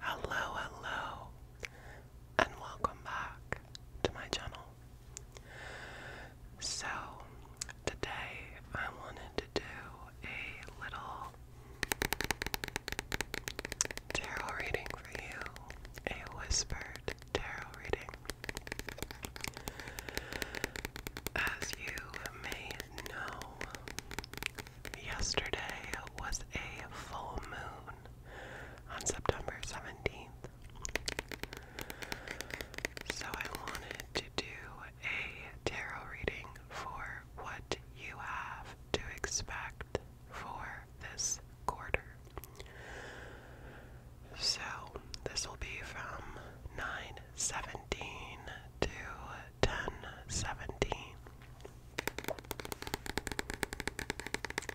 Hello, hello, and welcome back to my channel. So, today I wanted to do a little tarot reading for you, a whispered tarot reading. As you may know, Yesterday was a full moon on September 17th. So I wanted to do a tarot reading for what you have to expect for this quarter. So this will be from 917 to ten seventeen.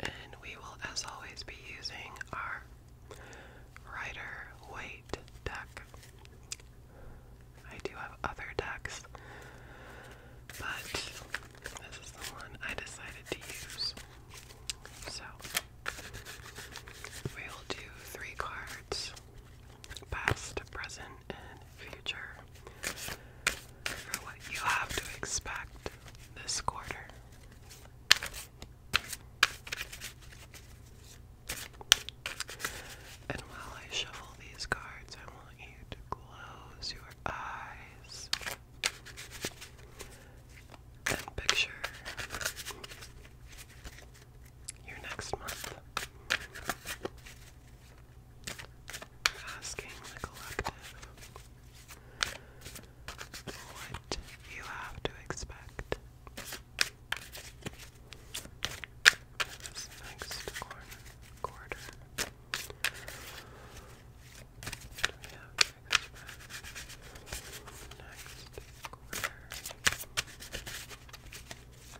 And we will, as always, be using our writer weight deck. I do have other decks, but this is the one I decided to use. So we will do three cards past, present, and future for what you have to expect this quarter. And while I shuffle these cards, I want you to close your eyes and picture you next month. Asking the collective what you have to expect. next quarter. we have Next quarter.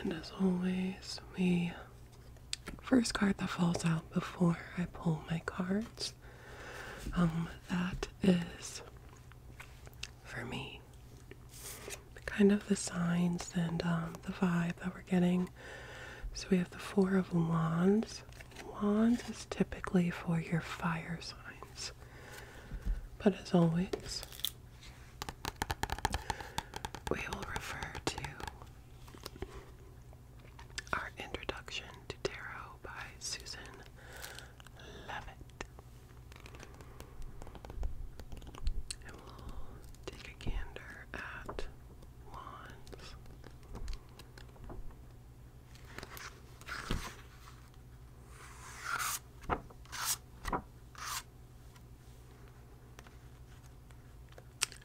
And as always, the first card that falls out before I pull my cards. Um, that is for me kind of the signs and um, the vibe that we're getting. So we have the Four of Wands. Wands is typically for your fire signs. But as always, we will refer to our introduction to tarot by Susan Levitt. And we'll take a gander at wands.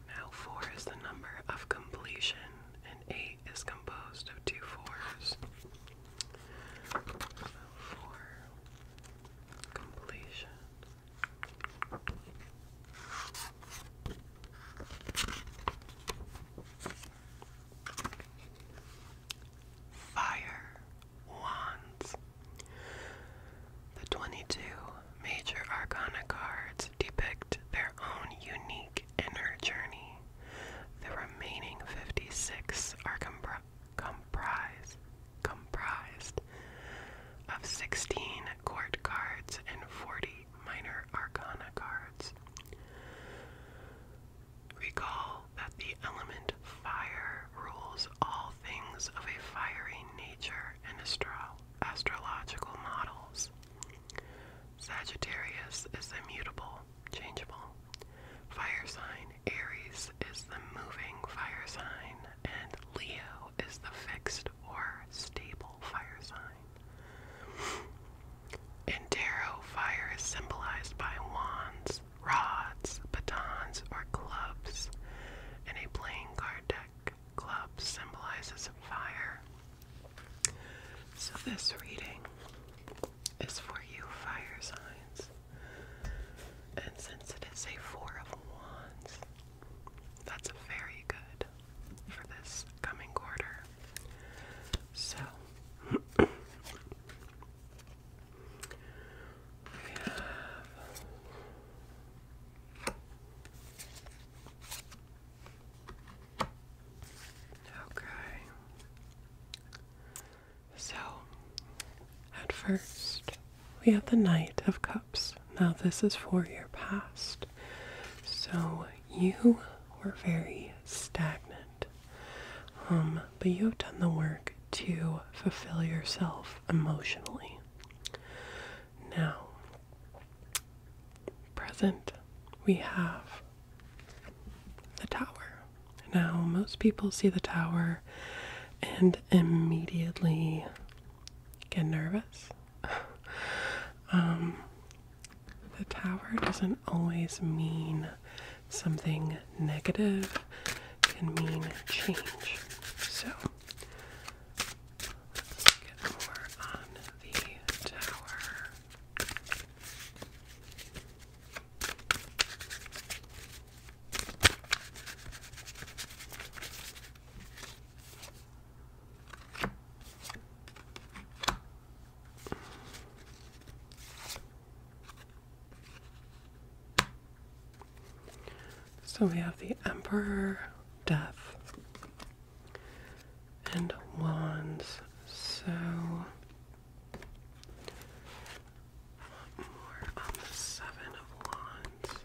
Now, 4 is the number of completion, and 8 is composed of two 4s. 4 completion. Fire. Wands. The 22 major arcana cards depict their own unique inner journey. The remaining 56 are comprised of 16 court cards and 40 minor arcana cards. Recall that the element fire rules all things of a fiery nature and astro astrological models. Sagittarius is immutable, changeable. Fire sign Aries is the moving fire sign, and Leo is the fixed or stable fire sign. In tarot, fire is symbolized by wands, rods, batons, or clubs. In a playing card deck, club symbolizes fire. So this reading is for you, fire signs. And since it is a four of wands, that's very good for this coming quarter. So Okay. So at first we have the Knight of Cups. Now this is for your past. So you were very stagnant. Um, but you have done the work to fulfill yourself emotionally. Now, present, we have the tower. Now, most people see the tower and immediately get nervous. Um, the tower doesn't always mean something negative can mean change. So let's get more on the tower. So we have the Emperor, Death, and Wands. So, more on the Seven of Wands.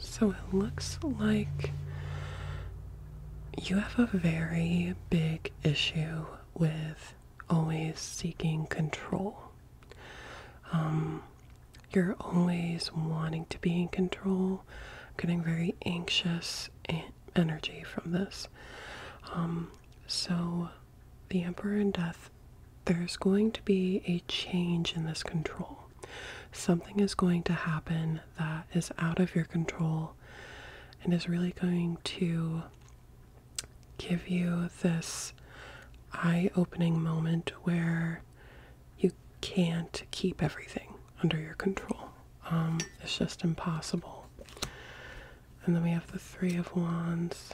So it looks like you have a very big issue with always seeking control. Um, you're always wanting to be in control, getting very anxious energy from this. Um, so, the Emperor in Death, there's going to be a change in this control. Something is going to happen that is out of your control and is really going to give you this eye opening moment where you can't keep everything under your control. Um, it's just impossible. And then we have the Three of Wands.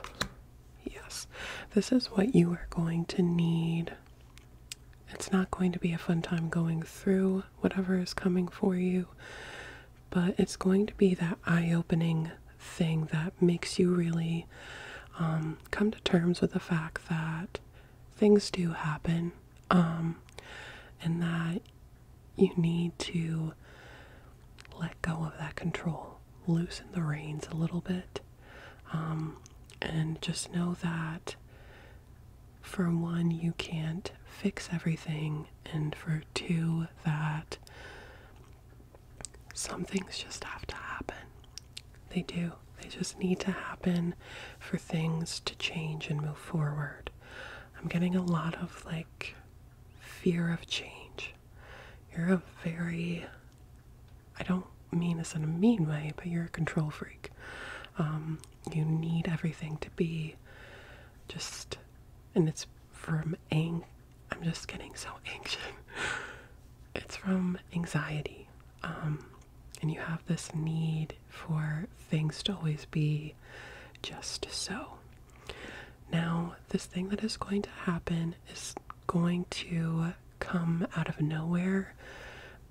Yes, this is what you are going to need. It's not going to be a fun time going through whatever is coming for you, but it's going to be that eye opening thing that makes you really um, come to terms with the fact that things do happen um, and that you need to let go of that control loosen the reins a little bit um, and just know that for one you can't fix everything and for two that some things just have to happen they do. They just need to happen for things to change and move forward. I'm getting a lot of like fear of change. You're a very, I don't mean this in a mean way, but you're a control freak. Um, you need everything to be just, and it's from ang. I'm just getting so anxious. it's from anxiety. Um, and you have this need for things to always be just so. Now, this thing that is going to happen is going to come out of nowhere,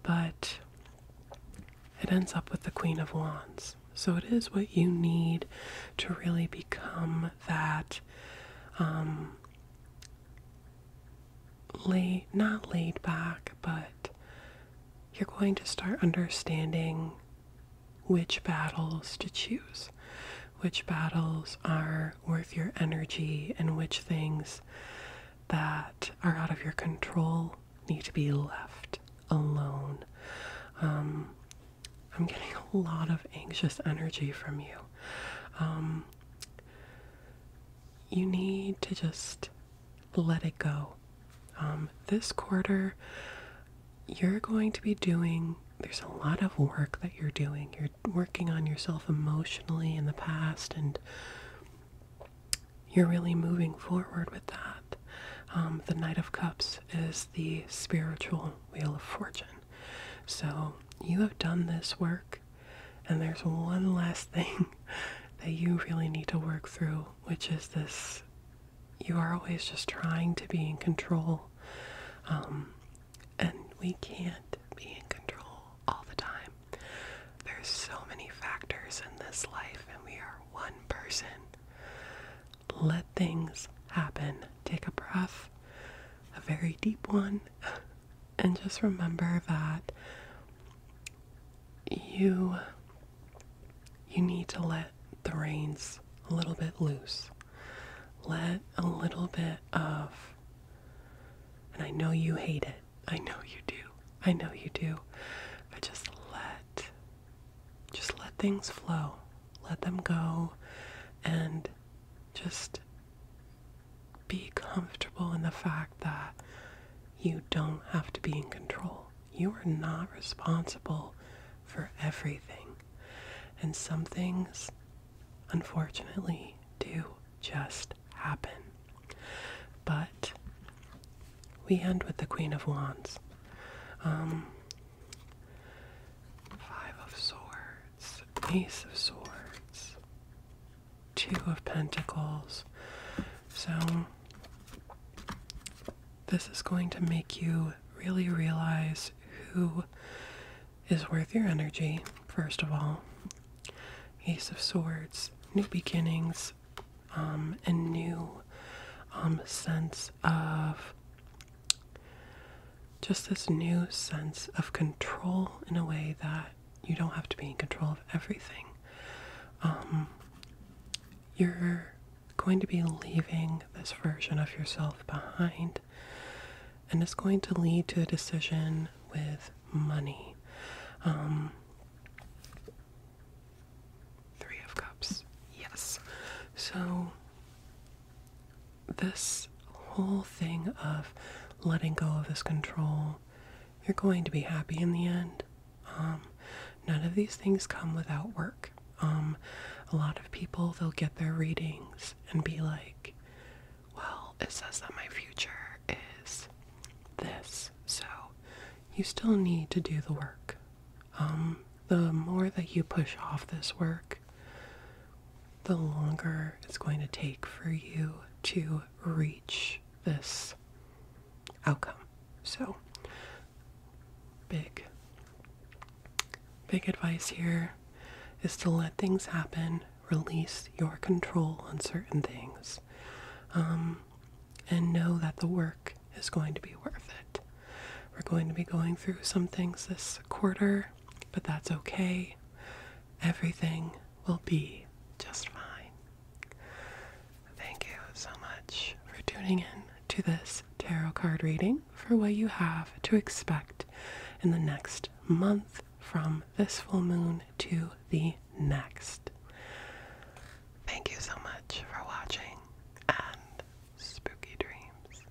but it ends up with the Queen of Wands. So, it is what you need to really become that um, not laid back, but you're going to start understanding which battles to choose, which battles are worth your energy, and which things that are out of your control need to be left alone. Um, I'm getting a lot of anxious energy from you. Um, you need to just let it go. Um, this quarter, you're going to be doing, there's a lot of work that you're doing. You're working on yourself emotionally in the past, and you're really moving forward with that. Um, the Knight of Cups is the spiritual wheel of fortune. So you have done this work. And there's one last thing that you really need to work through, which is this you are always just trying to be in control. Um, and we can't be in control all the time. There's so many factors in this life, and we are one person. Let things happen. Take a breath, a very deep one, And just remember that you you need to let the reins a little bit loose. Let a little bit of and I know you hate it. I know you do. I know you do. But just let just let things flow. Let them go and just be comfortable in the fact that you don't have to be in control. You are not responsible for everything. And some things, unfortunately, do just happen. But we end with the Queen of Wands. Um, five of Swords. Ace of Swords, Two of Pentacles. So, this is going to make you really realize who is worth your energy, first of all. Ace of Swords, new beginnings, um, and new um, sense of just this new sense of control in a way that you don't have to be in control of everything. Um, you're going to be leaving this version of yourself behind, and it's going to lead to a decision with money. Um, three of Cups, yes. So this whole thing of letting go of this control, you're going to be happy in the end. Um, none of these things come without work. Um, a lot of people, they'll get their readings and be like, well, it says that my future is this. So you still need to do the work. Um, the more that you push off this work, the longer it's going to take for you to reach this outcome. So, big, big advice here is to let things happen, release your control on certain things, um, and know that the work is going to be worth it. We're going to be going through some things this quarter but that's okay. Everything will be just fine. Thank you so much for tuning in to this tarot card reading for what you have to expect in the next month from this full moon to the next. Thank you so much for watching and spooky dreams.